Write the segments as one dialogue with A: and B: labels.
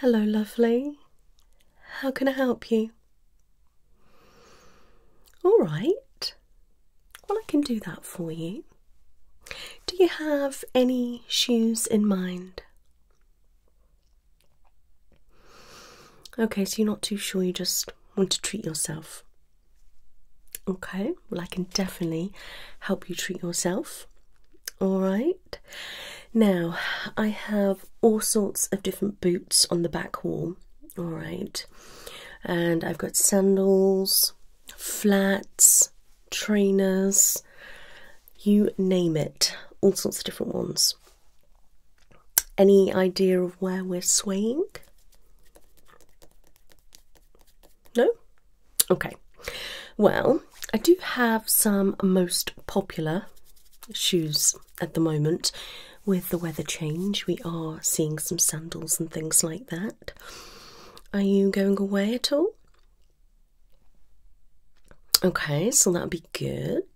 A: Hello, lovely. How can I help you? All right. Well, I can do that for you. Do you have any shoes in mind? Okay, so you're not too sure, you just want to treat yourself. Okay, well, I can definitely help you treat yourself. All right, now I have all sorts of different boots on the back wall. All right, and I've got sandals, flats, trainers, you name it, all sorts of different ones. Any idea of where we're swaying? No? Okay. Well, I do have some most popular shoes at the moment. With the weather change, we are seeing some sandals and things like that. Are you going away at all? Okay, so that would be good.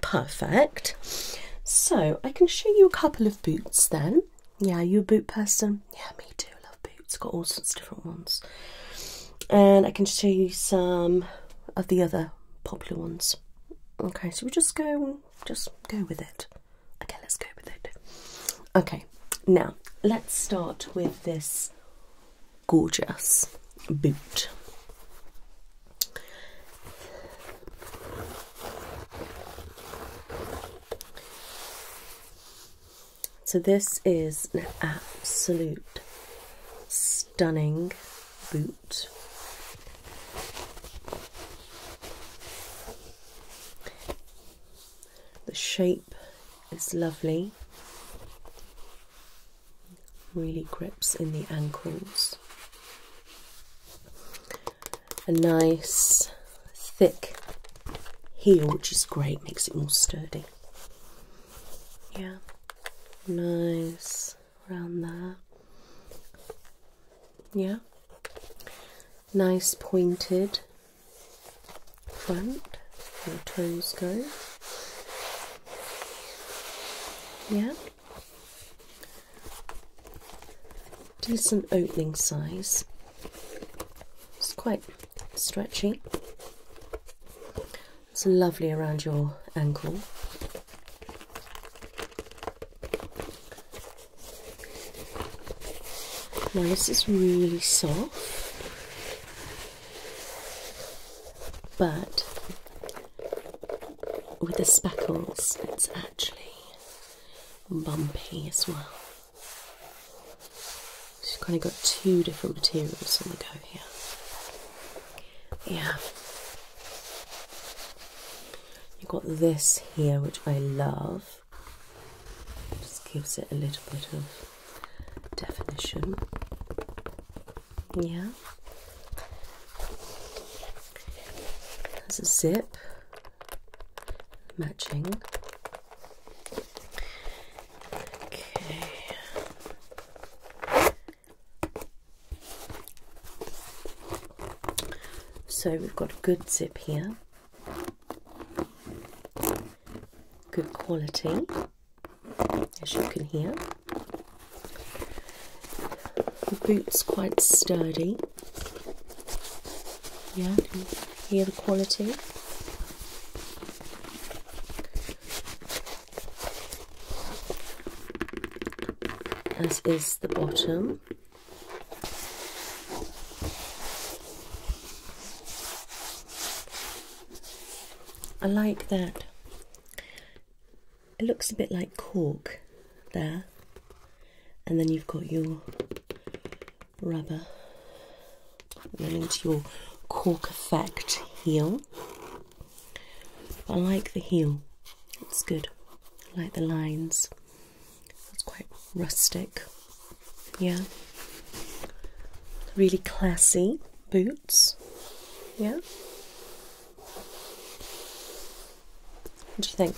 A: Perfect. So I can show you a couple of boots then. Yeah, you a boot person? Yeah, me too. I love boots. Got all sorts of different ones. And I can show you some of the other popular ones. Okay, so we just go, just go with it. Okay, let's go with it. Okay, now let's start with this gorgeous boot. So, this is an absolute stunning boot. The shape is lovely really grips in the ankles. A nice thick heel, which is great, makes it more sturdy. Yeah, nice around there. Yeah, nice pointed front, where toes go. Yeah. Decent opening size. It's quite stretchy. It's lovely around your ankle. Now this is really soft, but with the speckles, it's actually bumpy as well. She's kind of got two different materials on the go here. Yeah. You've got this here, which I love. Just gives it a little bit of definition. Yeah. There's a zip matching. Okay. So we've got a good zip here. Good quality as you can hear. The boot's quite sturdy. Yeah, hear the quality? As is the bottom. I like that it looks a bit like cork there, and then you've got your rubber then into your cork effect heel. I like the heel, it's good. I like the lines, it's quite rustic, yeah. Really classy boots, yeah. What do you think?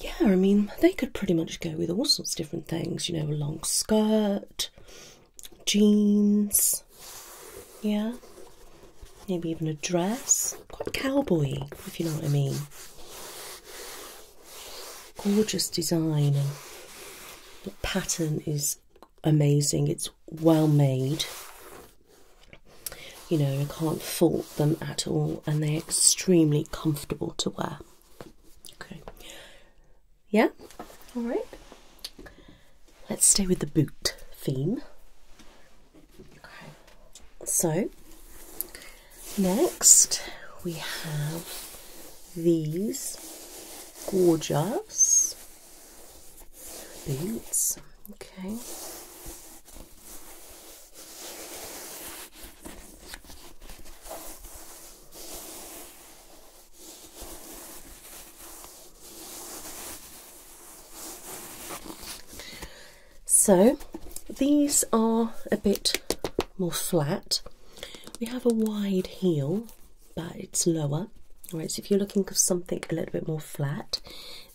A: Yeah, I mean, they could pretty much go with all sorts of different things, you know, a long skirt, jeans, yeah, maybe even a dress. Quite cowboy, if you know what I mean. Gorgeous design, and the pattern is amazing. It's well made. You know, I can't fault them at all, and they're extremely comfortable to wear. Okay. Yeah? Alright. Let's stay with the boot theme. Okay. So, next we have these gorgeous Beats. Okay. So these are a bit more flat. We have a wide heel but it's lower. Alright, so if you're looking for something a little bit more flat,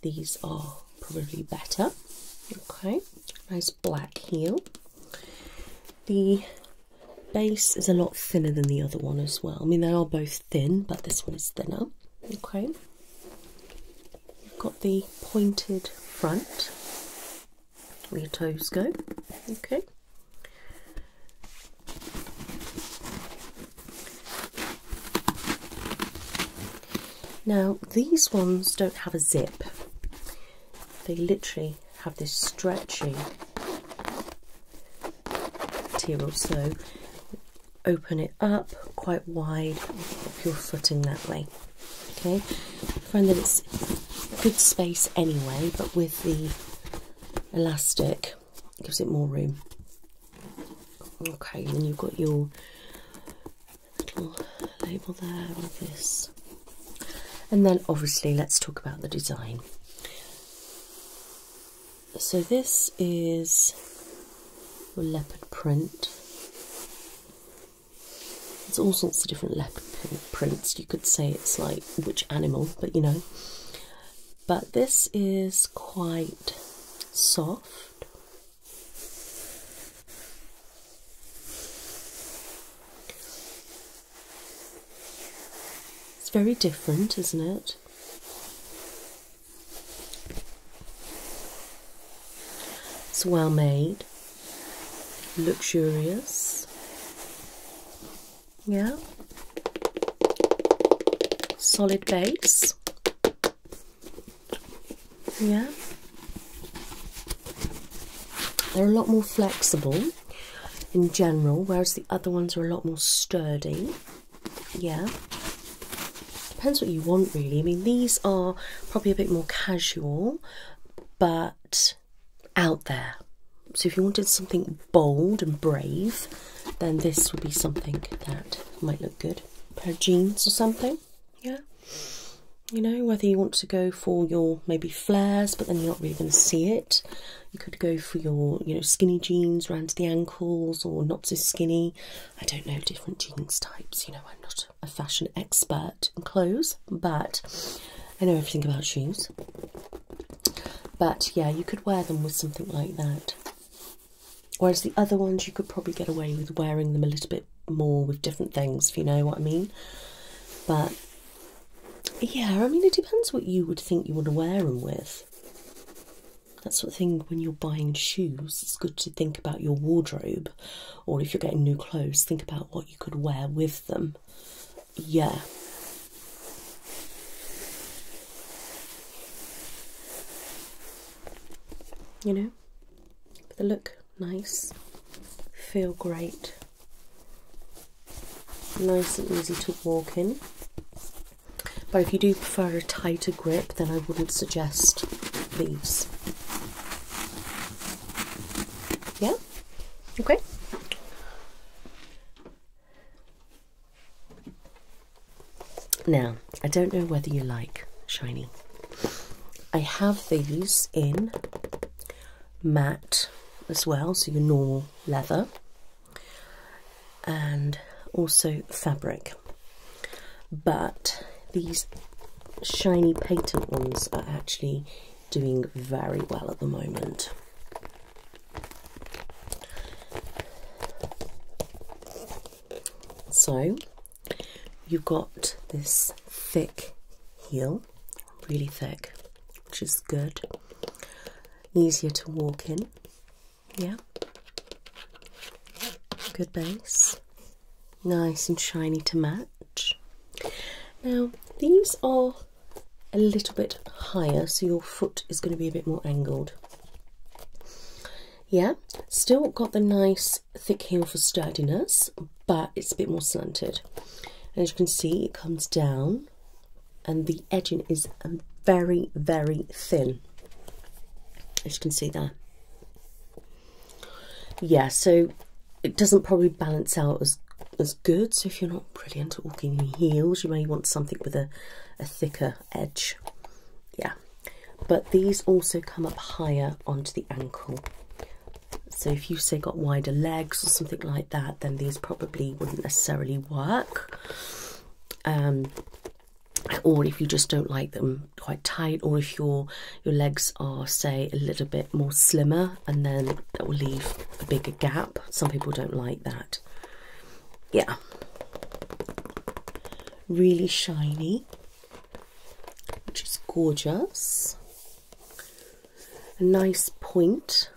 A: these are probably better. Okay, nice black heel. The base is a lot thinner than the other one as well. I mean, they are both thin, but this one is thinner. Okay, you've got the pointed front where your toes go. Okay, now, these ones don't have a zip, they literally have this stretchy material. So, open it up quite wide, pop your foot in that way. Okay, find that it's good space anyway, but with the elastic, gives it more room okay then you've got your little label there with this and then obviously let's talk about the design so this is your leopard print there's all sorts of different leopard print prints you could say it's like which animal but you know but this is quite soft. It's very different, isn't it? It's well made, luxurious yeah solid base yeah they're a lot more flexible in general whereas the other ones are a lot more sturdy yeah depends what you want really i mean these are probably a bit more casual but out there so if you wanted something bold and brave, then this would be something that might look good. pair of jeans or something, yeah. You know, whether you want to go for your maybe flares, but then you're not really going to see it. You could go for your, you know, skinny jeans around the ankles or not so skinny. I don't know different jeans types. You know, I'm not a fashion expert in clothes, but I know everything about shoes. But yeah, you could wear them with something like that. Whereas the other ones, you could probably get away with wearing them a little bit more with different things, if you know what I mean. But yeah, I mean, it depends what you would think you would wear them with. That's sort of thing when you're buying shoes, it's good to think about your wardrobe, or if you're getting new clothes, think about what you could wear with them yeah. You know, they look nice, feel great, nice and easy to walk in. But if you do prefer a tighter grip, then I wouldn't suggest these. Yeah? Okay. Now, I don't know whether you like shiny. I have these in matte as well, so your normal leather, and also fabric. But these shiny patent ones are actually doing very well at the moment. So you've got this thick heel, really thick, which is good, easier to walk in. Yeah, good base, nice and shiny to match. Now, these are a little bit higher, so your foot is going to be a bit more angled. Yeah, still got the nice thick heel for sturdiness, but it's a bit more slanted. as you can see, it comes down, and the edging is very, very thin. As you can see there. Yeah, so it doesn't probably balance out as as good. So if you're not brilliant. Walking in heels. You may want something with a, a thicker edge. Yeah. But these also come up higher onto the ankle. So if you say got wider legs or something like that, then these probably wouldn't necessarily work. Um, or if you just don't like them quite tight, or if your your legs are say a little bit more slimmer, and then that will leave a bigger gap. Some people don't like that yeah really shiny which is gorgeous a nice point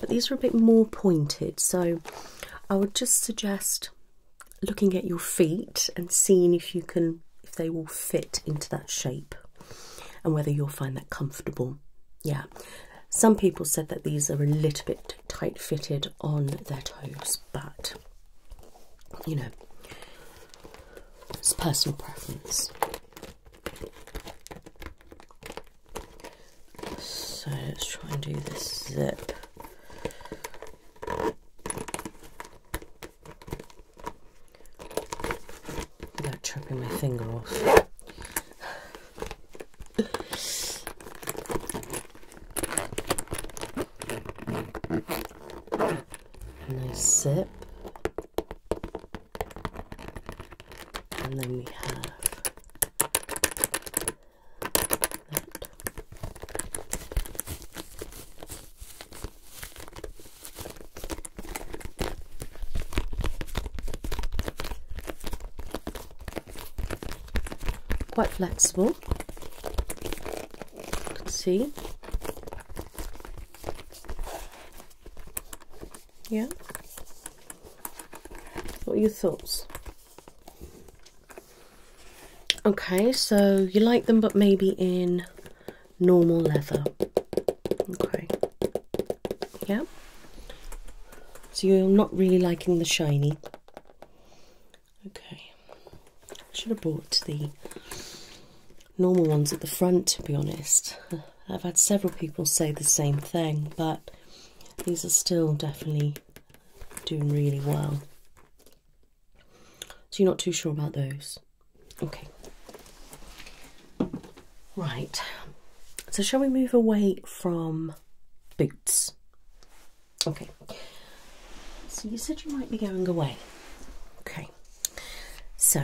A: but these are a bit more pointed so i would just suggest looking at your feet and seeing if you can if they will fit into that shape and whether you'll find that comfortable yeah some people said that these are a little bit tight fitted on their toes, but you know, it's personal preference. So let's try and do this zip. Without tripping my finger off nice sip. And then we have that quite flexible. You can see. Yeah. What are your thoughts? Okay, so you like them, but maybe in normal leather. Okay. Yeah. So you're not really liking the shiny. Okay. Should have bought the normal ones at the front to be honest. I've had several people say the same thing, but these are still definitely doing really well. So you're not too sure about those. Okay. Right. So shall we move away from boots. Okay. So you said you might be going away. Okay. So,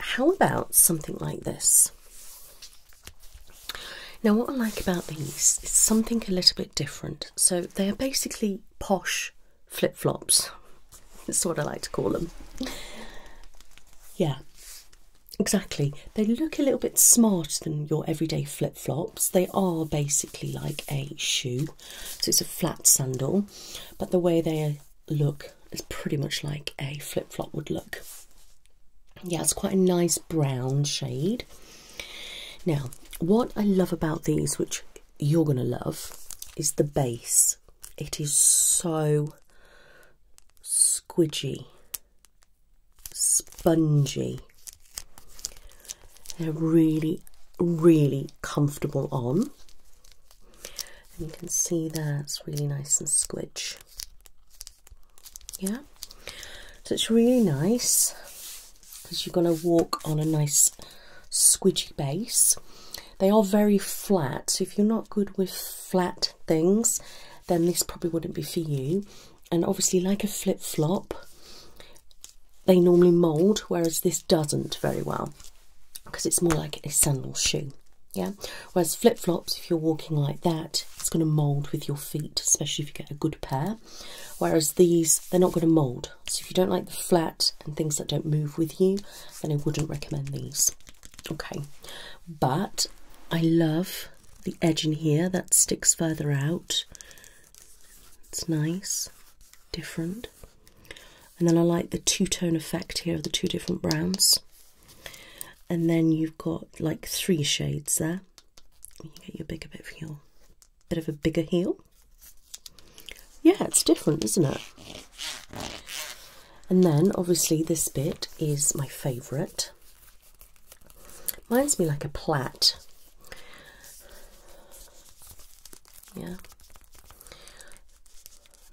A: how about something like this? Now, what I like about these is something a little bit different. So, they are basically posh flip flops. That's what I like to call them. Yeah. Exactly. They look a little bit smarter than your everyday flip flops. They are basically like a shoe, so it's a flat sandal, but the way they look is pretty much like a flip flop would look. Yeah, it's quite a nice brown shade. Now, what I love about these, which you're going to love, is the base. It is so squidgy spongy. They're really, really comfortable on. And you can see there, it's really nice and squidge. Yeah? So it's really nice because you're going to walk on a nice squidgey base. They are very flat, so if you're not good with flat things, then this probably wouldn't be for you and obviously like a flip-flop they normally mold whereas this doesn't very well because it's more like a sandal shoe yeah whereas flip-flops if you're walking like that it's going to mold with your feet especially if you get a good pair whereas these they're not going to mold so if you don't like the flat and things that don't move with you then i wouldn't recommend these okay but i love the edge in here that sticks further out. It's nice, different. And then I like the two-tone effect here of the two different browns. And then you've got like three shades there. You get your bigger bit of heel. Bit of a bigger heel. Yeah, it's different, isn't it? And then obviously this bit is my favourite. Mine's me like a plat, Yeah.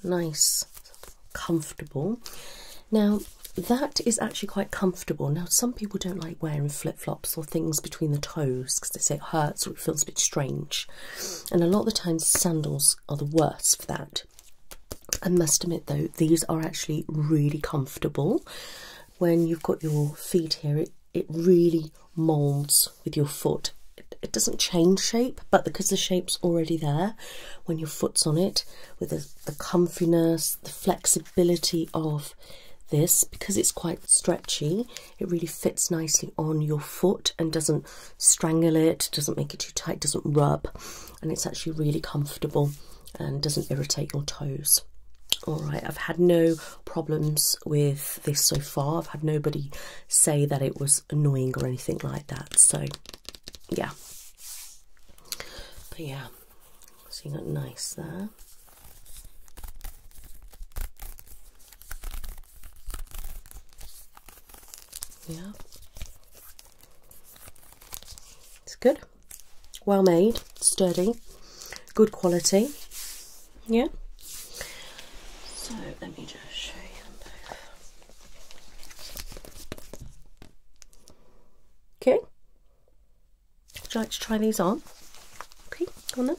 A: Nice, comfortable. Now, that is actually quite comfortable. Now, some people don't like wearing flip flops or things between the toes because they say it hurts or it feels a bit strange. And a lot of the times, sandals are the worst for that. I must admit, though, these are actually really comfortable when you've got your feet here, it, it really molds with your foot. It, doesn't change shape, but because the shape's already there, when your foot's on it, with the, the comfiness, the flexibility of this, because it's quite stretchy, it really fits nicely on your foot and doesn't strangle it, doesn't make it too tight, doesn't rub, and it's actually really comfortable and doesn't irritate your toes. Alright, I've had no problems with this so far. I've had nobody say that it was annoying or anything like that. So, yeah. But yeah, so you got nice there. Yeah. It's good well made, sturdy, good quality. Yeah. So let me just show you Okay. Would you like to try these on? Okay, go on then.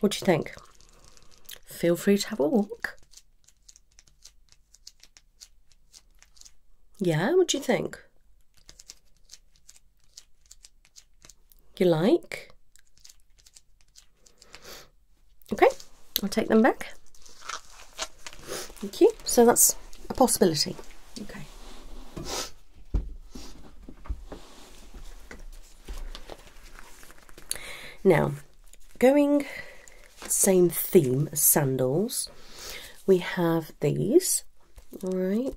A: What do you think? Feel free to have a walk. Yeah, what do you think? You like? Okay, I'll take them back. Thank you. So that's a possibility. Okay. Now, going same theme as sandals, we have these. All right.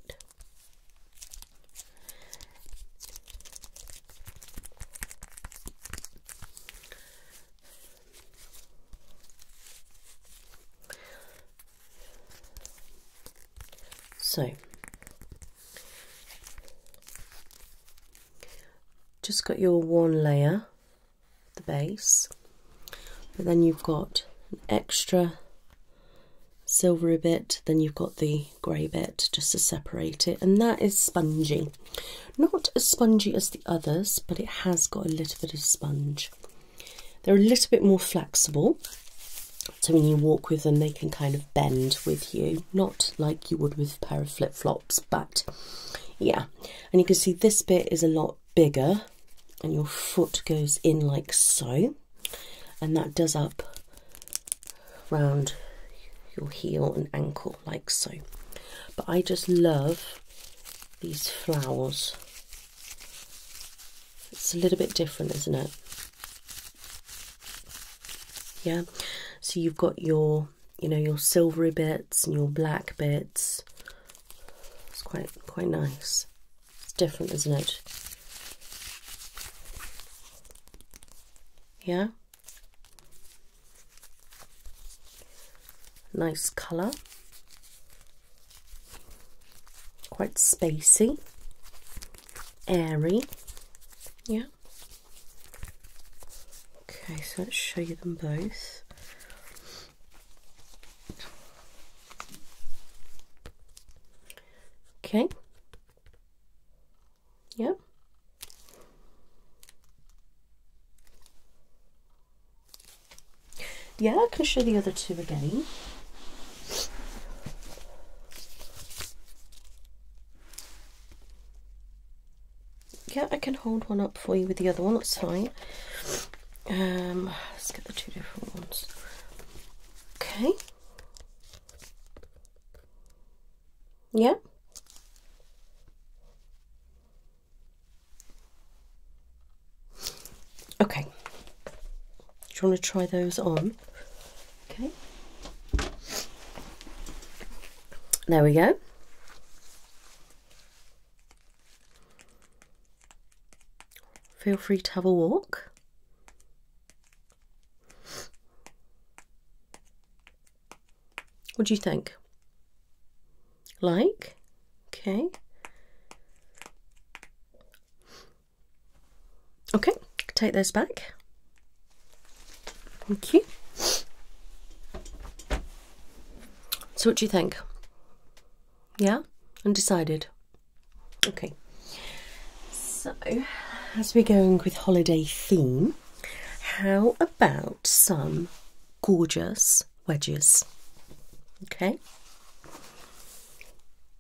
A: So just got your one layer, the base, but then you've got an extra silvery bit, then you've got the grey bit just to separate it, and that is spongy. Not as spongy as the others, but it has got a little bit of sponge. They're a little bit more flexible, so when you walk with them, they can kind of bend with you, not like you would with a pair of flip flops but yeah and you can see this bit is a lot bigger and your foot goes in like so and that does up round your heel and ankle like so but I just love these flowers it's a little bit different isn't it yeah so you've got your you know your silvery bits and your black bits. It's quite quite nice. It's different, isn't it? Yeah. Nice colour. Quite spacey. Airy. Yeah. Okay, so let's show you them both. Okay. Yep. Yeah, I can show the other two again. Yeah, I can hold one up for you with the other one, that's fine. Um, let's get the two different ones. Okay. Yep. Okay. Do you want to try those on? Okay. There we go. Feel free to have a walk. What do you think? Like? Okay. Okay, take this back. Thank you. So, what do you think? Yeah? Undecided? Okay. So, as we're going with holiday theme, how about some gorgeous wedges? Okay.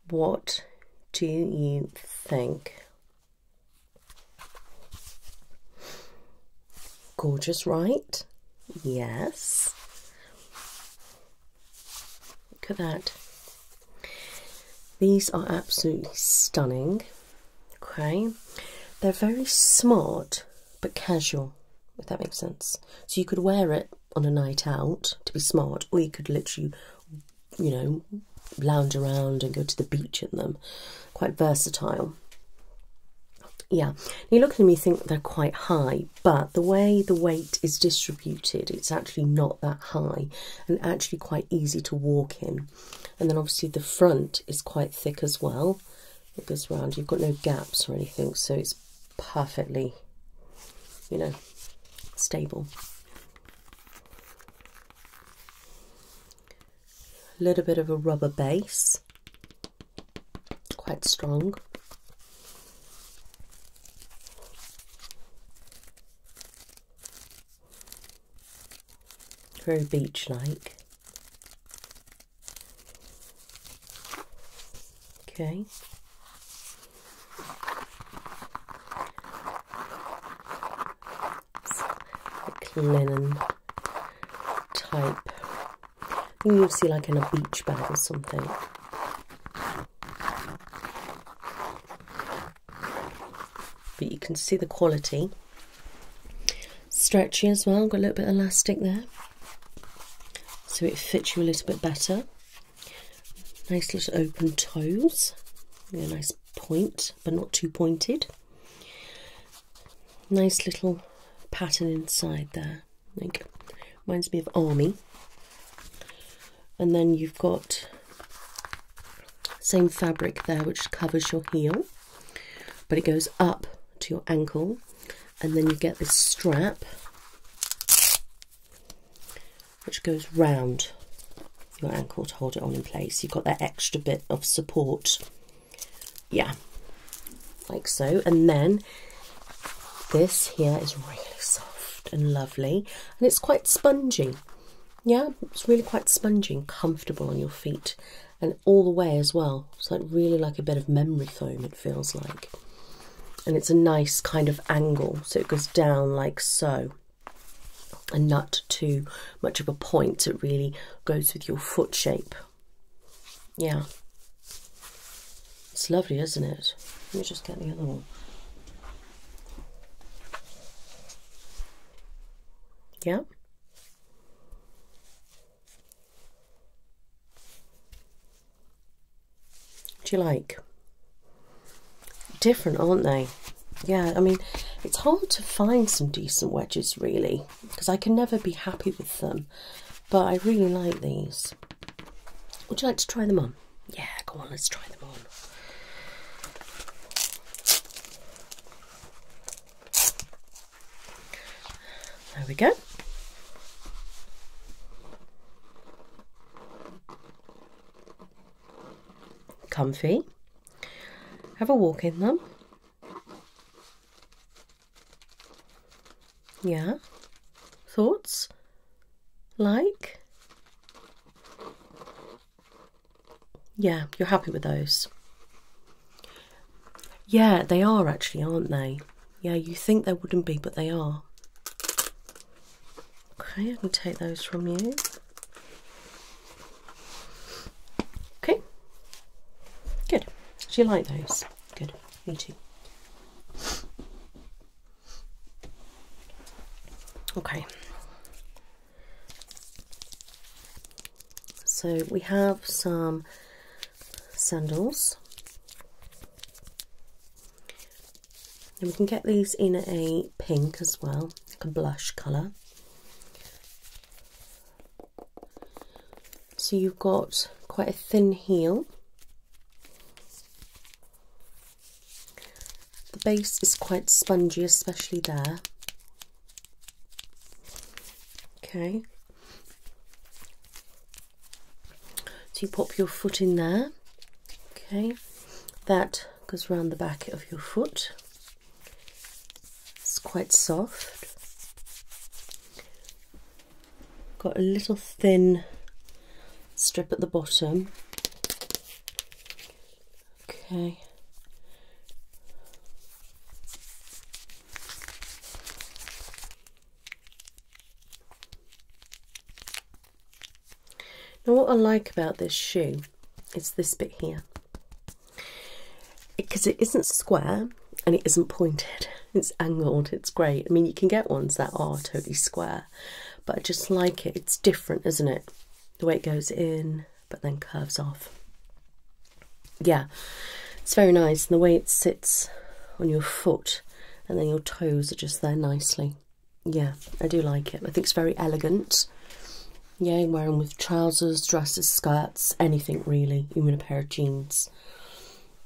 A: What do you think Gorgeous, right? Yes. Look at that. These are absolutely stunning. Okay. They're very smart but casual, if that makes sense. So you could wear it on a night out to be smart, or you could literally, you know, lounge around and go to the beach in them. Quite versatile. Yeah, you look at me. you think they're quite high, but the way the weight is distributed, it's actually not that high and actually quite easy to walk in. And then obviously the front is quite thick as well. It goes round, you've got no gaps or anything, so it's perfectly, you know, stable a little bit of a rubber base, quite strong. Very beach like. Okay like linen type. You'll see like in a beach bag or something. But you can see the quality. Stretchy as well, got a little bit of elastic there. So it fits you a little bit better. Nice little open toes. A nice point, but not too pointed. Nice little pattern inside there. Like reminds me of army. And then you've got same fabric there which covers your heel, but it goes up to your ankle, and then you get this strap which goes round your ankle to hold it on in place. You've got that extra bit of support yeah like so and then this here is really soft and lovely and it's quite spongy yeah it's really quite spongy and comfortable on your feet and all the way as well it's like really like a bit of memory foam it feels like and it's a nice kind of angle so it goes down like so a nut too much of a point it really goes with your foot shape yeah. It's lovely, isn't it? Let me just get the other one. Yep. Do you like? Different, aren't they? Yeah, I mean, it's hard to find some decent wedges, really because I can never be happy with them, but I really like these. Would you like to try them on? Yeah, go on, let's try them on. There we go. Comfy. Have a walk in them. Yeah? Thoughts? Like? Yeah, you're happy with those. Yeah, they are actually, aren't they? Yeah, you think they wouldn't be, but they are. Okay, I can take those from you. Okay. Good. Do you like those? Good. Me too. Okay. So we have some sandals. And we can get these in a pink as well, like a blush colour. So you've got quite a thin heel. The base is quite spongy, especially there. Okay. So you pop your foot in there. Okay. That goes round the back of your foot. It's quite soft. Got a little thin strip at the bottom. Okay. Now what I like about this shoe is this bit here because it isn't square and it isn't pointed, it's angled, it's great. I mean, you can get ones that are totally square, but I just like it. It's different, isn't it? The way it goes in but then curves off. Yeah, it's very nice, and the way it sits on your foot and then your toes are just there nicely. Yeah, I do like it. I think it's very elegant. Yeah, wearing with trousers, dresses, skirts, anything really you, you a pair of jeans.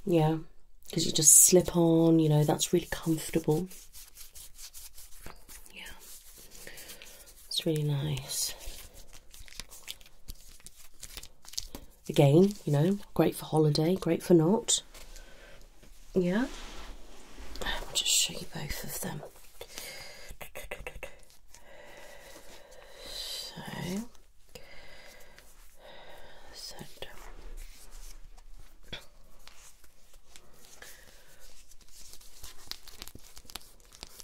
A: Yeah, because you just slip on, you know, that's really comfortable. Yeah, it's really nice. Again, you know, great for holiday, great for not. Yeah, I'll just show you both of them. So set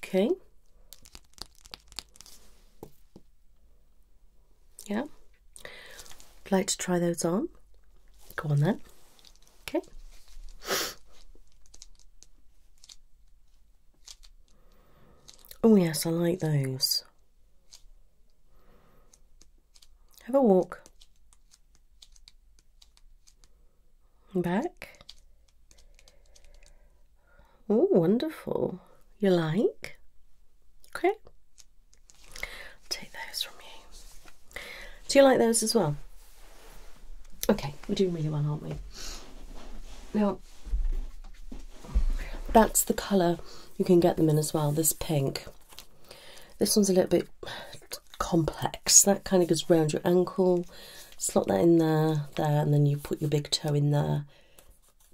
A: Okay. Yeah. I'd like to try those on. Go on then. Okay. Oh, yes, I like those. Have a walk. Back. Oh, wonderful. You like? Okay. i take those from you. Do you like those as well? Okay, we're doing really well, aren't we? Now, that's the colour you can get them in as well, this pink. This one's a little bit complex. That kind of goes round your ankle. Slot that in there, there, and then you put your big toe in there.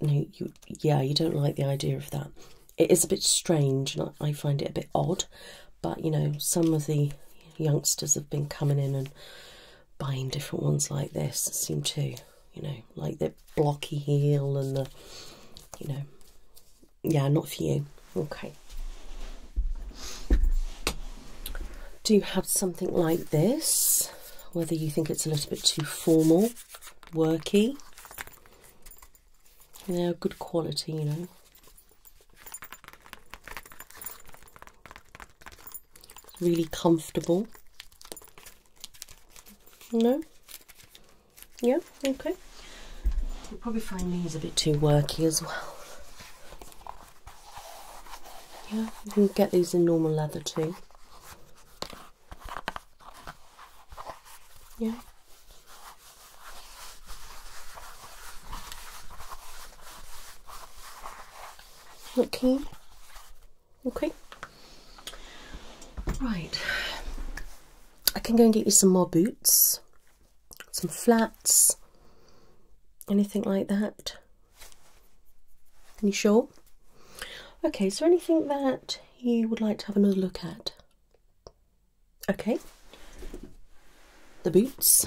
A: No, you, yeah, you don't like the idea of that. It is a bit strange, and I find it a bit odd. But you know, some of the youngsters have been coming in and buying different ones like this seem to, you know, like the blocky heel and the, you know, yeah, not for you. Okay. Do you have something like this? Whether you think it's a little bit too formal, worky. They're yeah, good quality, you know really comfortable. No? Yeah, okay. You'll probably find these a bit too worky as well. Yeah, you can get these in normal leather too. Yeah. Okay. Okay. Right. I can go and get you some more boots, some flats, anything like that. Are you sure? Okay, So, anything that you would like to have another look at? Okay. The boots.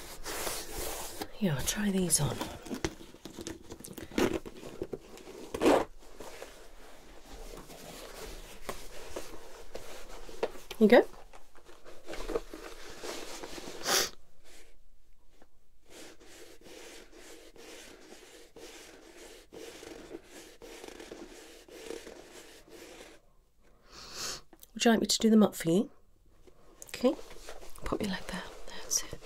A: Yeah, I'll try these on. You go. Would you like me to do them up for you? Okay, put me like that. That's it.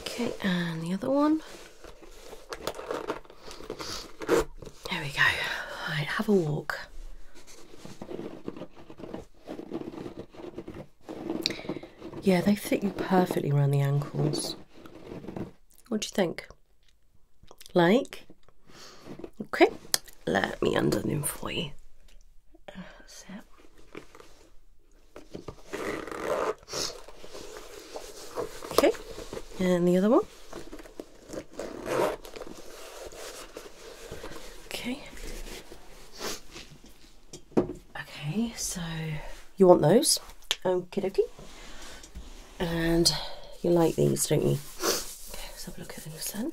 A: Okay, and the other one. There we go. Right, have a walk. Yeah, they fit you perfectly around the ankles. What do you think? Like, okay, let me undo them for you. Okay, and the other one. Okay. Okay, so you want those? Okay, dokie and you like these, don't you? let's have a look at these then.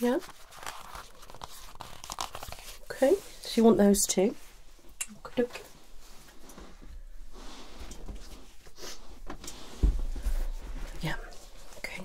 A: Yeah. Okay, so you want those two. Yeah, okay.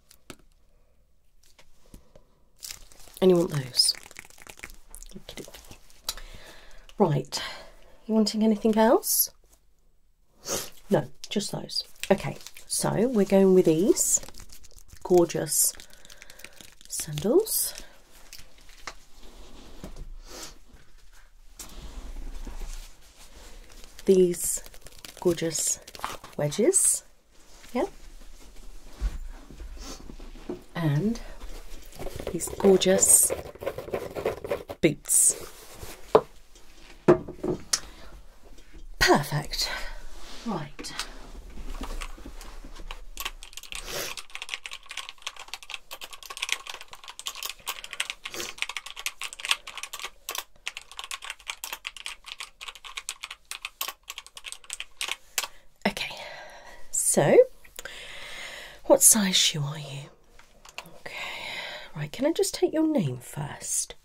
A: And you want those. Right. You wanting anything else? No, just those. Okay, so we're going with these gorgeous sandals these gorgeous wedges. Yep. And these gorgeous boots. Perfect. Right. Okay, so what size shoe are you? Okay, right, can I just take your name first?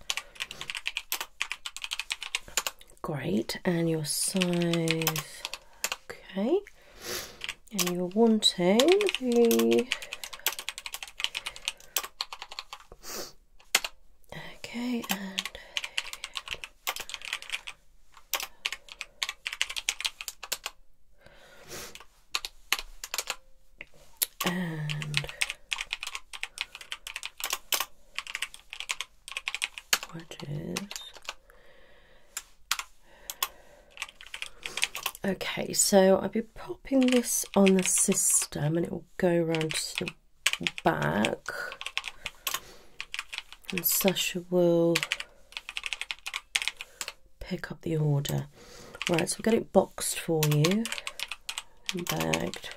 A: Great, and your size, okay, and you're wanting the Okay, and and what is okay so i'll be popping this on the system and it will go around to the back. And Sasha will pick up the order. Right, so we'll get it boxed for you and bagged.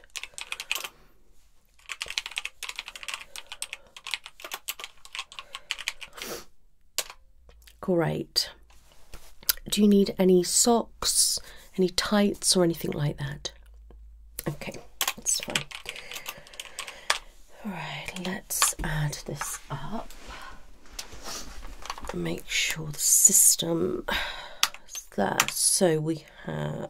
A: Great. Do you need any socks, any tights, or anything like that? Okay, that's fine. Alright, let's add this up. Make sure the system is there. So we have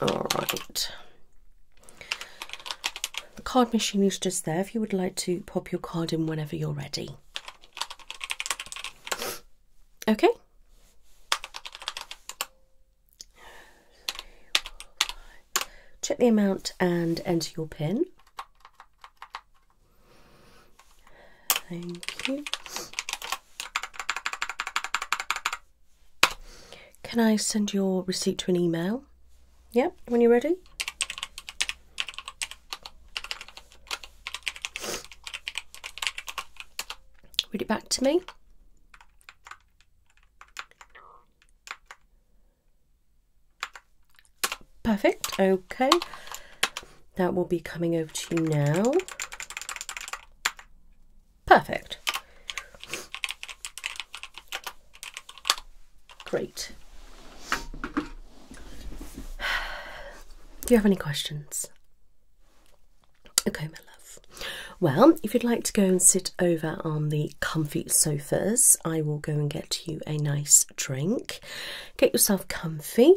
A: All right. The card machine is just there if you would like to pop your card in whenever you're ready. Okay. Check the amount and enter your PIN. Thank you. Can I send your receipt to an email? Yep, when you're ready. Read it back to me. Perfect, okay. That will be coming over to you now. Perfect. Great. Do you have any questions? Okay, my love. Well, if you'd like to go and sit over on the comfy sofas, I will go and get you a nice drink. Get yourself comfy,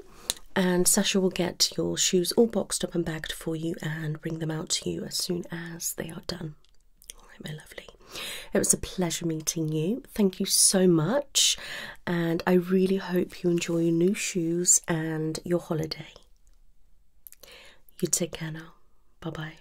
A: and Sasha will get your shoes all boxed up and bagged for you and bring them out to you as soon as they are done. All right, my lovely. It was a pleasure meeting you. Thank you so much, and I really hope you enjoy your new shoes and your holiday. You take care now. Bye bye.